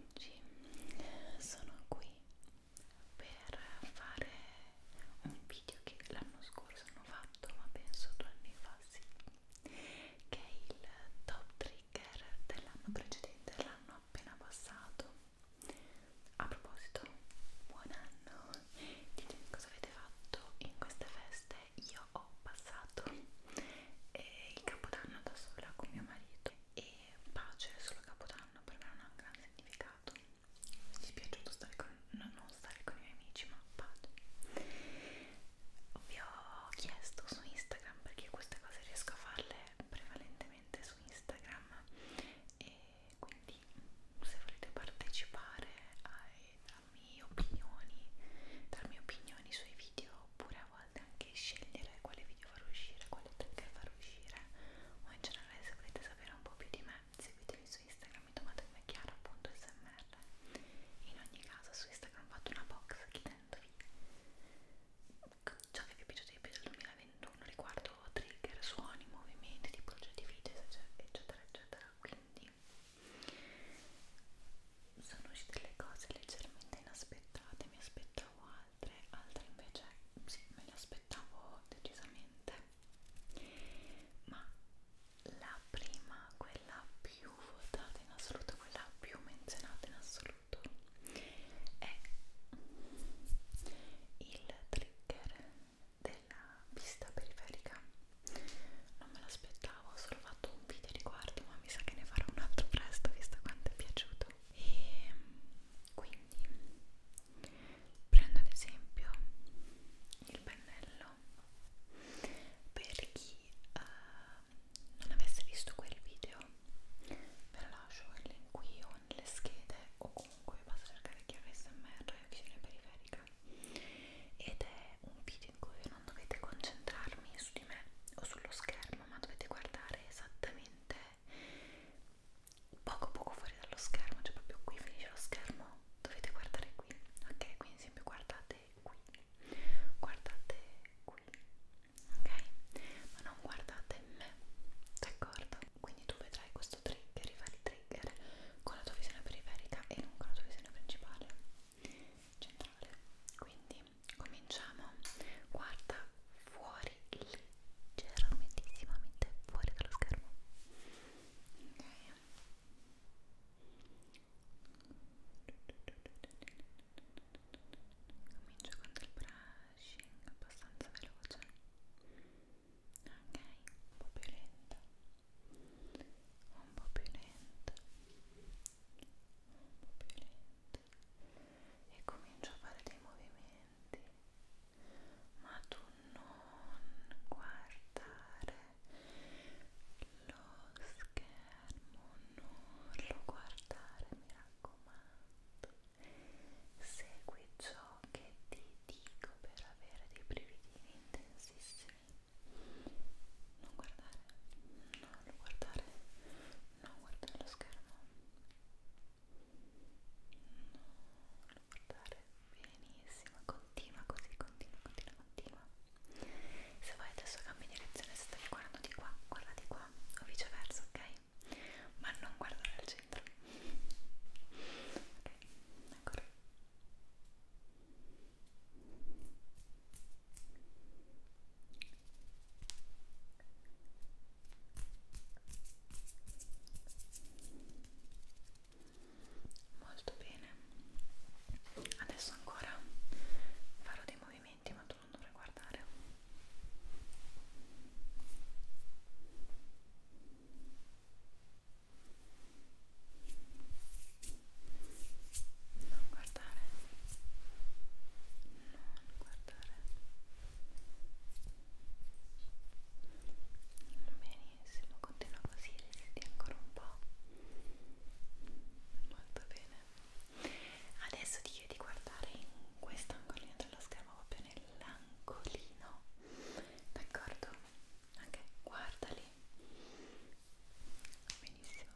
oggi sono qui per fare un video che l'anno scorso non ho fatto ma penso due anni fa sì che è il top trigger dell'anno precedente dell'anno appena passato a proposito buon anno ditemi cosa avete fatto in queste feste io ho passato eh, il capodanno da sola con mio marito e pace solo capodanno per me non ha un gran significato dispiaciuto stare con, no, non stare con i miei amici ma pace vi ho chiesto su Instagram perché queste cose riesco a farle prevalentemente su Instagram e quindi se volete partecipare ai, darmi opinioni darmi opinioni sui video oppure a volte anche scegliere quale video far uscire, quale tag far uscire o in generale se volete sapere un po' più di me seguitemi su Instagram mi trovate come chiara.smr in ogni caso su Instagram ho fatto una box chiedendovi ciò che vi è piaciuto di più del 2021 riguardo trigger, suoni, movimenti, tipologia di video eccetera eccetera quindi sono uscite le cose leggermente inaspettate, mi aspettavo altre, altre invece sì, me le aspettavo decisamente. Ma la prima, quella più votata in assoluto, quella più menzionata in assoluto, è il trigger della vista periferica. Non me l'aspettavo ricordavo, ho solo fatto un video riguardo, ma mi sa che ne farò un altro presto visto quanto è piaciuto. E ehm, quindi prendo ad esempio il pennello per chi uh, non avesse visto quel video, ve lo lascio il link qui o nelle schede o comunque basta cercare chiave smr visione periferica ed è un video in cui ho non dovete concentrarmi su di me o sullo schermo, ma dovete guardare esattamente poco poco fuori dallo schermo, cioè proprio qui finisce lo schermo, dovete guardare qui, ok? Quindi sempre guardate qui, guardate qui, ok? Ma non guardate me, d'accordo? Quindi tu vedrai questo trigger, i vari trigger con la tua visione periferica e non con la tua visione principale centrale quindi cominciamo guarda fuori leggermentissimamente fuori dallo schermo okay. comincio con del brushing abbastanza veloce ok un po' più lento un po' più lento un po' più lento e comincio a fare dei movimenti ma tu non guardare lo schermo non lo guardare mi raccomando segui ciò che ti dico per avere dei brividini intensissimi non guardare non guardare No, guarda lo schermo. No, lo guardare benissimo. Continua così, continua, continua, continua. Se vuoi adesso cambi direzione, se stavi guardando di qua, guarda di qua, o viceversa, ok? Ma non guardare al centro. Ok, ancora. Molto bene. Adesso ancora farò dei movimenti, ma tu non dovrai guardare. Molto non guardare non guardare benissimo continua così resiti ancora un po' molto bene adesso ti chiedo di guardare in questo angolino dello schermo proprio nell'angolino d'accordo? ok guardali benissimo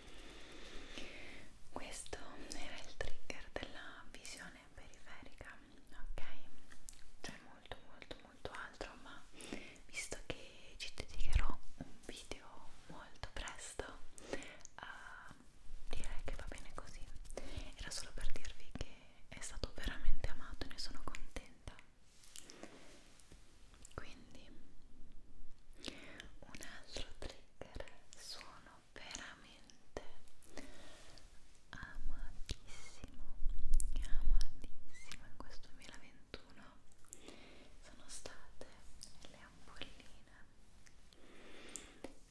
questo era il trigger della visione periferica ok c'è molto molto molto altro ma visto che ci dedicherò un video molto presto uh, direi che va bene così era solo per dirvi che è stato veramente amato e ne sono contenta quindi un altro trigger sono veramente amatissimo amatissimo in questo 2021 sono state le ampolline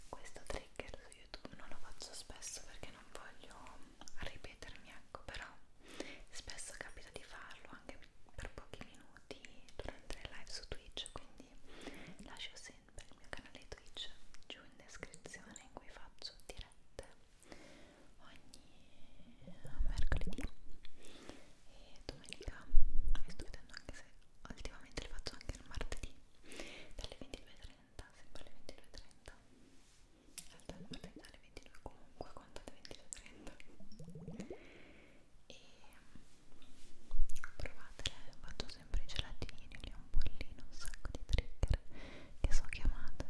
questo trigger su youtube non lo faccio spesso perché non voglio ripetermi ecco però spesso capita di farlo anche per pochi minuti minuti durante le live su Twitch quindi lascio sempre il mio canale Twitch giù in descrizione in cui faccio dirette ogni mercoledì e domenica e sto vedendo anche se ultimamente le faccio anche il martedì dalle 22.30 sempre alle 22.30 in realtà alle 22 comunque contate 22.30 e provatele, faccio sempre i gelatini, li ho un bollino, un sacco di trigger che so chiamate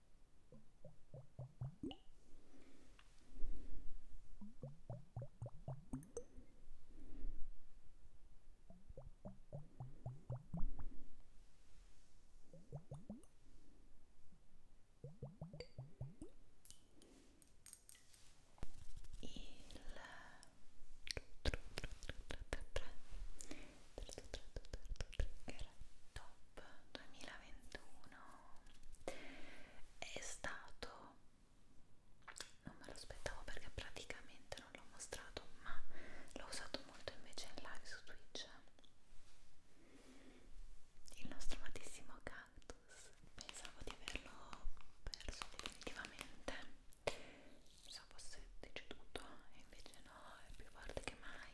top 2021 uno è stato non me lo aspettavo perché praticamente non l'ho mostrato ma l'ho usato molto invece in live su Twitch il nostro amatissimo cactus pensavo di averlo perso definitivamente mi so fosse deceduto e invece no è più forte che mai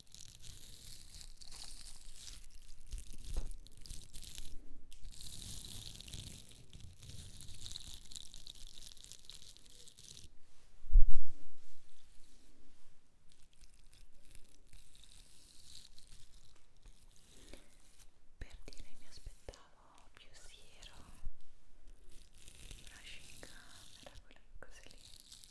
Per dire mi aspettavo più siero, brushing camera, quella cosa lì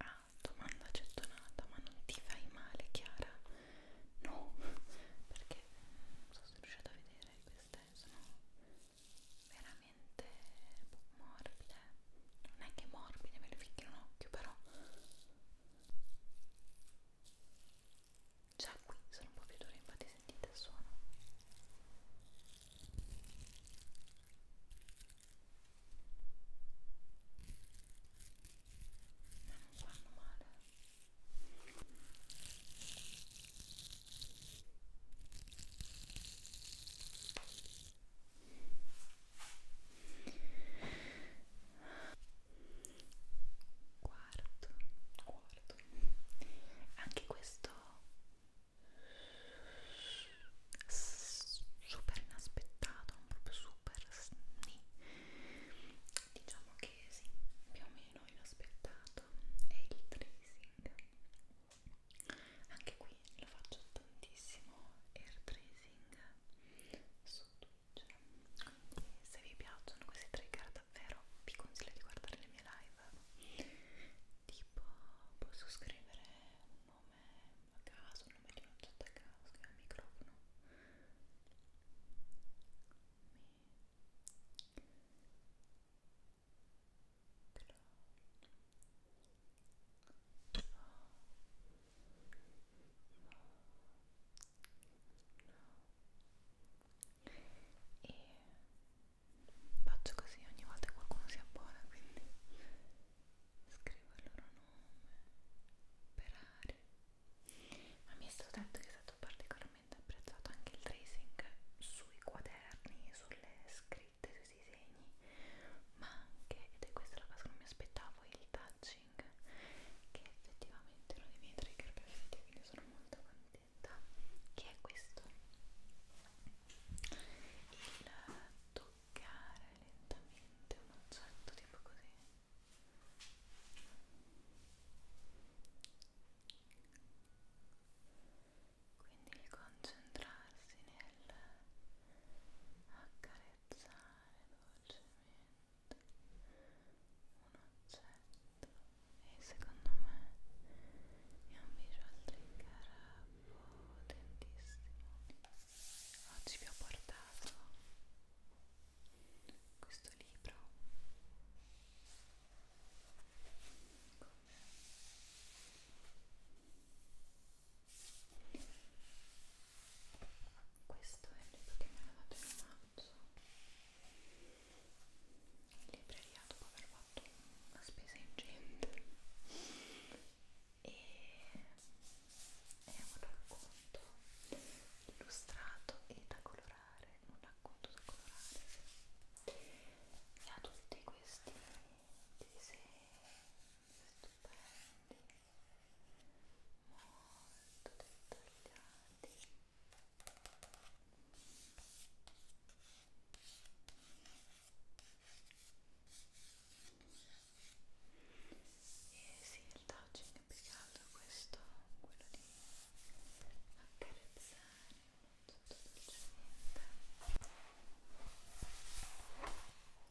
Ah, domanda gettonata, ma non ti fai male Chiara? No, perché non so se riuscite a vedere, queste sono veramente boh, morbide, non è che morbide, me le ficchino un occhio però Già qui sono un po' più dure, infatti sentite il suono. Ma non fanno male quarto, quarto. Anche questo super inaspettato, non proprio super sni. Diciamo che sì, più o meno inaspettato è il tracing. Anche qui lo faccio tantissimo air tracing su tutto piacere cioè, quindi se vi piacciono questi trigger davvero vi consiglio di guardare le mie live tipo posso scrivere un nome a caso, un nome di un oggetto a caso, scrivo al microfono mi e faccio così ogni volta che qualcuno si abbona quindi scrivo il loro nome per aria ma mi è stato detto che è stato particolarmente apprezzato anche il tracing sui quaderni sulle scritte, sui disegni ma anche, ed è questa la cosa che non mi aspettavo il touch brushing che è effettivamente uno dei miei trigger preferiti quindi sono molto contenta che è questo il toccare lentamente un oggetto tipo così quindi il concentrarsi nel accarezzare dolcemente un oggetto e secondo me è un visual trigger potentissimo oggi vi ho portato questo libro come questo è il libro che mi hanno dato in omaggio in libreria dopo aver fatto una spesa ingente e è un racconto illustrato e da colorare un racconto da colorare e ha tutti questi disegni stupendi molto dettagliati e sì, il touching è più che altro questo, quello di accarezzare molto dolcemente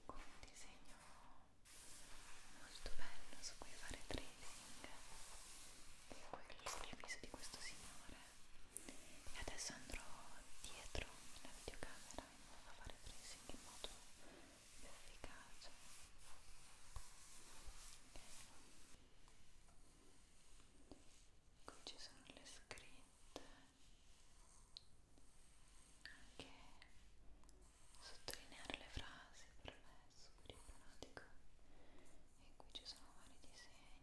con un disegno molto bello su cui fare trading di quello servizio di questo signore e adesso andrò dietro la videocamera in modo da fare tracing in modo più efficace okay. qui ci sono le scritte anche sottolineare le frasi per me è super ipnotico e qui ci sono vari disegni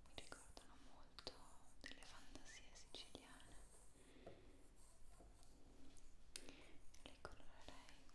mi ricordano molto delle fantasie siciliane le colorerei con il blu il giallo il verde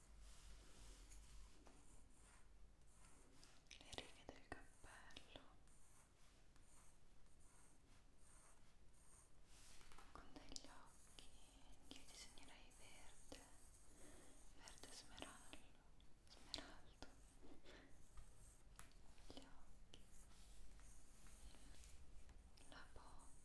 le righe del cappello con degli occhi io disegnerei verde verde smeraldo smeraldo gli occhi la bocca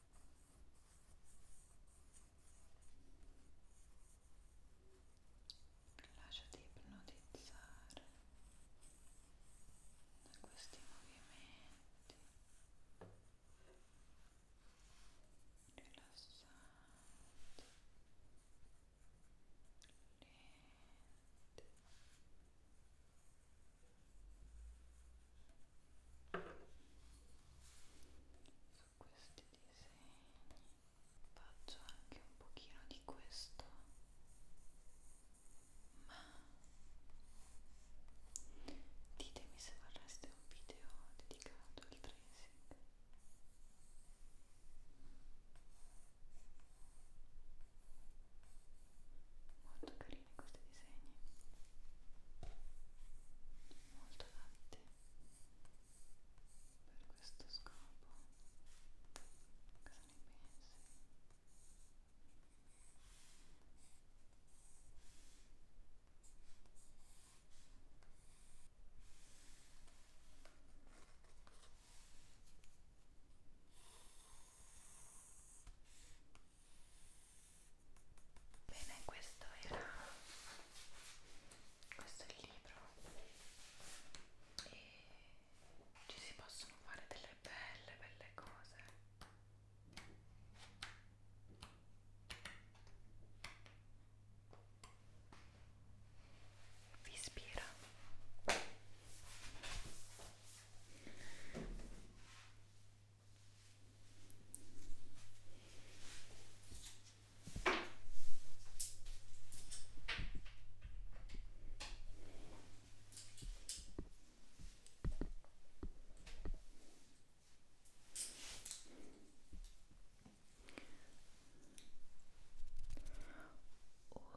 Lasciati ipnotizzare da questi movimenti rilassanti, lenti su questi disegni faccio anche un pochino di questo ma ditemi se vorreste un video dedicato al tracing molto carini questi disegni molto adatti per questo scopo cosa ne pensi? Bene, Bene, questo era questo è il libro e ci si possono fare delle belle belle cose. Vi ispira.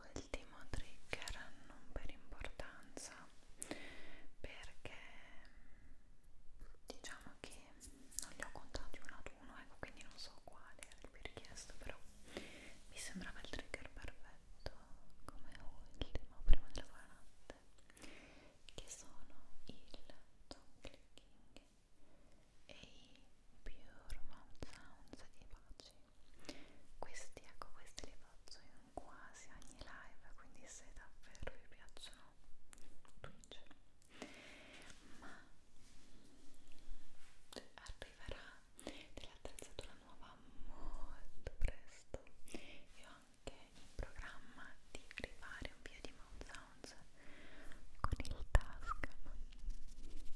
Ultimo trigger non per importanza perché diciamo che non li ho contati uno ad uno ecco quindi non so quale era il più richiesto però mi sembrava il trigger perfetto come ultimo prima della buonanotte che sono il tongue clicking e i pure mouth sounds e baci questi ecco questi li faccio in quasi ogni live quindi se davvero vi piacciono tutti faccia ma arriverà dell'attrezzatura nuova molto presto io ho anche in programma di rifare un video di mouth sounds con il tascam quindi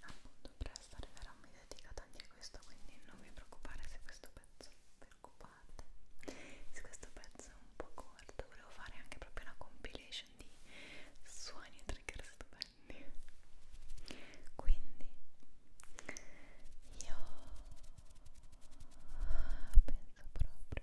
appunto presto arriverà un video dedicato anche a questo quindi non vi preoccupate se questo pezzo preoccupate se questo pezzo è un po' corto volevo fare anche proprio una compilation di suoni e trigger stupendi quindi io penso proprio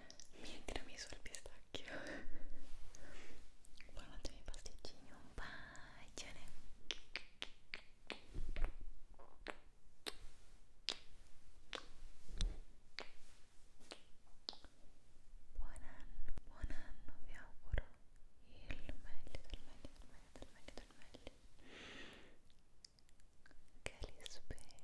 mi tiramisù al pistacchio buonanotte ai pasticcini un bacione buon anno buon anno vi auguro il meglio del meglio del meglio del meglio del meglio che li spero